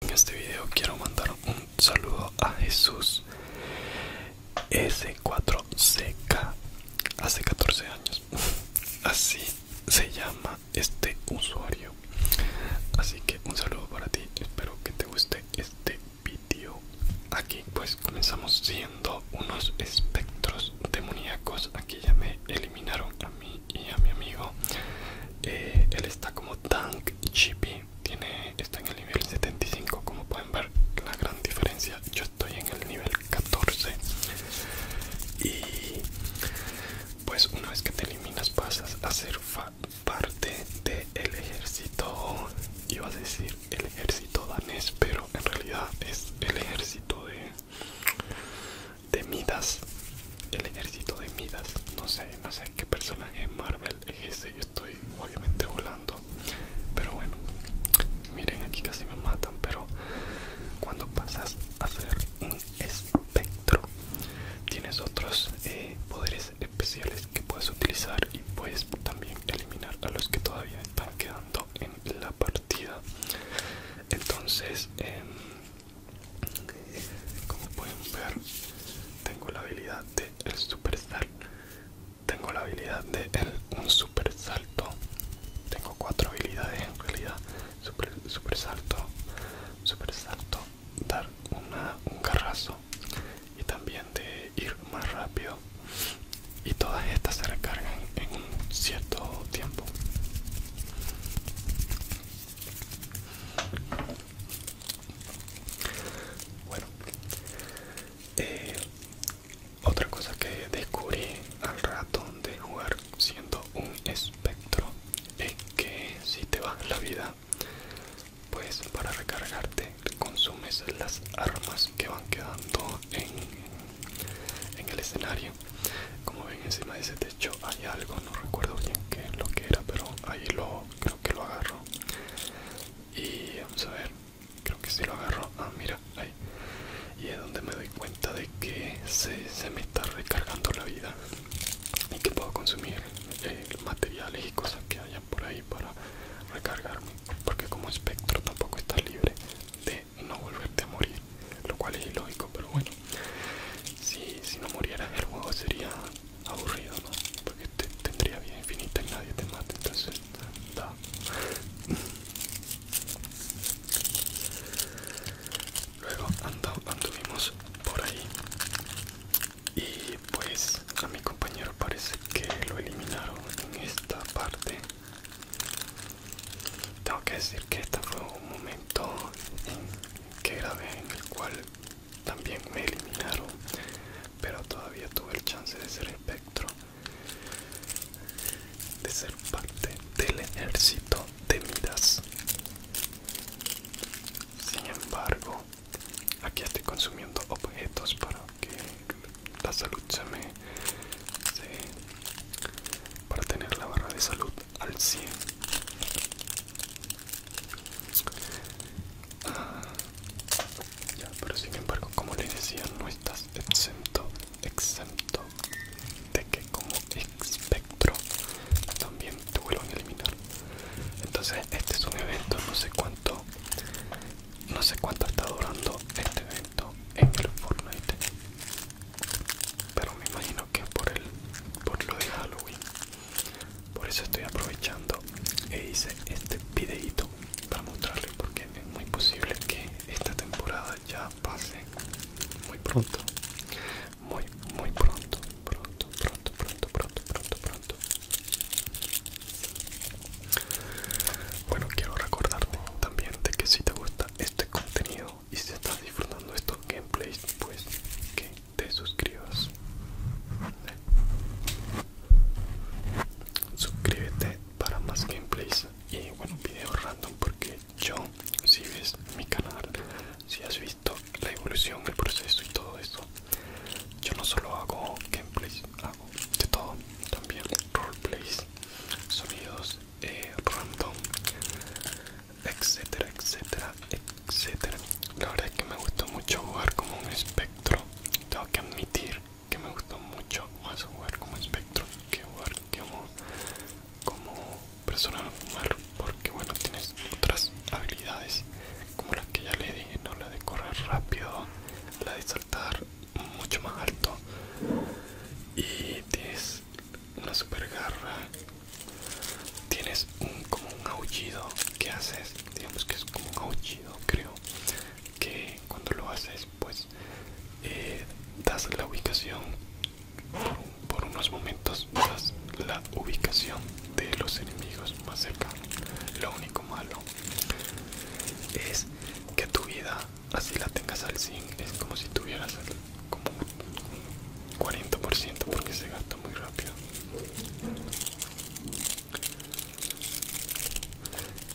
En este video quiero mandar un saludo a Jesús S4CK hace 14 años. Así se llama este usuario. Así que un saludo para ti. Espero que te guste este video. Aquí pues comenzamos siendo unos espectros demoníacos. Aquí ya me eliminaron a mí y a mi amigo eh, él está como tank chippy tiene está en el nivel 75 como pueden ver la gran diferencia yo estoy en el nivel 14 y pues una vez que te eliminas pasas a ser parte del el ejército iba a decir el ejército danés pero en realidad es el ejército de de midas el ejército de Midas. No sé, no sé qué personaje Marvel es ese. Yo estoy obviamente volando. Pero bueno, miren, aquí casi me matan. Pero cuando pasas a hacer un espectro, tienes otros eh, poderes especiales que puedes utilizar y puedes también eliminar a los que todavía están quedando en la partida. Entonces, eh, como pueden ver, tengo la habilidad de el super salto Tengo la habilidad de el, un super salto. Tengo cuatro habilidades en realidad. Super, super salto, super salto, dar un carrazo y también de ir más rápido. Y todas estas se recargan en un cierto tiempo. Bueno, eh, otra cosa que descubrí al rato de jugar siendo un espectro es que si te bajas la vida, pues para recargarte consumes las armas que van quedando en, en el escenario. Como ven encima de ese techo hay algo, no recuerdo bien qué lo que era, pero ahí lo creo que lo agarro. Y vamos a ver, creo que si lo agarró Ah, mira, ahí. Y es donde me doy cuenta de que se, se me está recargando la vida y que puedo consumir eh, materiales y cosas que hayan por ahí para recargarme. Porque como espectro tampoco está libre de no volverte a morir, lo cual es ilógico, pero bueno. Si, si no murieras el juego sería aburrido, ¿no? Porque tendría vida infinita y nadie te mata, entonces da. Luego anduvimos por ahí y pues a mi compañero parece que lo eliminaron en esta parte. Tengo que decir que este fue un momento en que grave, en el cual también me eliminaron pero todavía tuve el chance de ser espectro de ser parte del ejército de miras sin embargo aquí estoy consumiendo objetos para que la salud se me para tener la barra de salud al 100 ya, pero sin embargo, como les decía, no estás exento, exento de que como espectro también te vuelvan a eliminar. Entonces, este es un evento, no sé cuánto, no sé cuánto está durando este evento en el Fortnite, pero me imagino que por el, por lo de Halloween por eso estoy aprovechando e hice este videito para mostrarles porque es muy posible que esta temporada ya pase muy pronto muy muy pronto pronto pronto pronto pronto pronto pronto bueno quiero recordarte también de que si te gusta este contenido y si estás disfrutando estos gameplays pues que te suscribas suscríbete para más gameplays y bueno videos random porque yo si ves mi canal si has visto la evolución el proceso y todo eso yo no solo hago gameplays hago de todo también roleplays sonidos eh, random etcétera, etcétera, etcétera. La verdad es que me gustó mucho jugar como un espectro. Tengo que admitir que me gustó mucho más jugar como espectro que jugar como, como persona normal, porque bueno, tienes otras habilidades como las que ya le dije, no la de correr rápido, la de saltar mucho más alto y tienes una super garra tienes un como un aullido que haces digamos que es como un aullido creo que cuando lo haces pues eh, das la ubicación por, unos momentos das la ubicación de los enemigos más cerca. lo único malo es que tu vida así la tengas al fin, es como si tuvieras como 40% porque se gasta muy rápido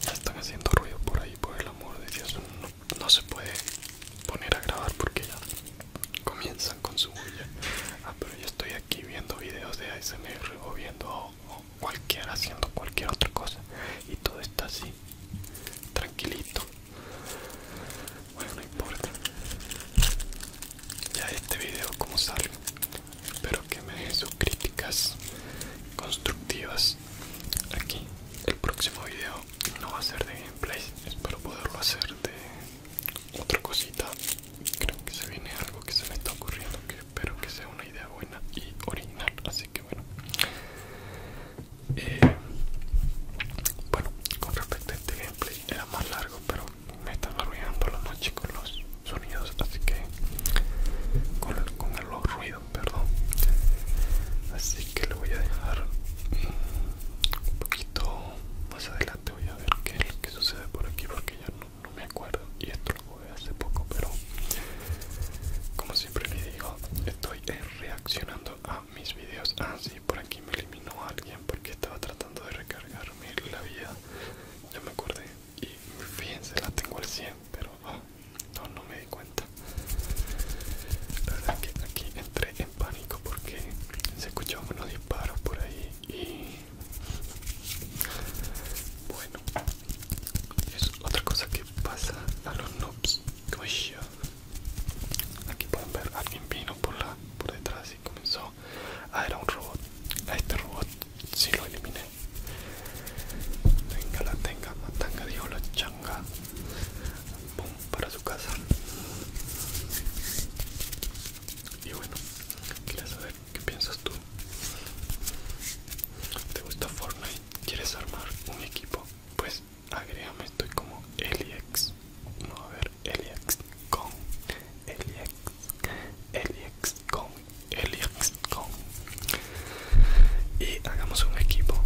ya están haciendo ruido por ahí por el amor de Dios no, se puede poner a grabar porque ya comienzan con su bulla ah pero yo estoy aquí viendo videos de ASMR o viendo cualquiera haciendo cualquier otra cosa y todo está así tranquilito bueno, no importa. Ya este video como sale. Espero que me dejen sus críticas constructivas. Aquí el próximo video no va a ser de gameplay. Espero poderlo hacer de otra cosita. Creo que se viene algo que se me está ocurriendo. Que espero que sea una idea buena y original. Así que bueno. Eh, bueno, con respecto a este era más largo pero me estaba arruinando la noche con los sonidos así que con, el, con los ruidos perdón así que lo voy a dejar un poquito más adelante voy a ver qué es lo que sucede por aquí porque ya no, me acuerdo y esto lo jugué hace poco pero como siempre me digo estoy eh, reaccionando a mis vídeos ah sí por aquí me eliminó alguien porque estaba tratando de recargarme la vida ya me acordé y fíjense la tengo al 100 pero ah, no no me di cuenta la verdad que aquí entré en pánico porque se escuchaban unos disparos por ahí y bueno es otra cosa que pasa a los noobs como yo Aquí pueden ver, alguien vino por la por detrás y comenzó. ver a un robot. A este robot si lo eliminé. Venga la tenga, matanga dijo la changa. Boom, para su casa. Y bueno, quiero saber qué piensas tú. ¿Te gusta Fortnite? ¿Quieres armar un equipo? Pues agrégame estoy como Eliex no a ver Eliex con Eliex Eliex con Eliex con y hagamos un equipo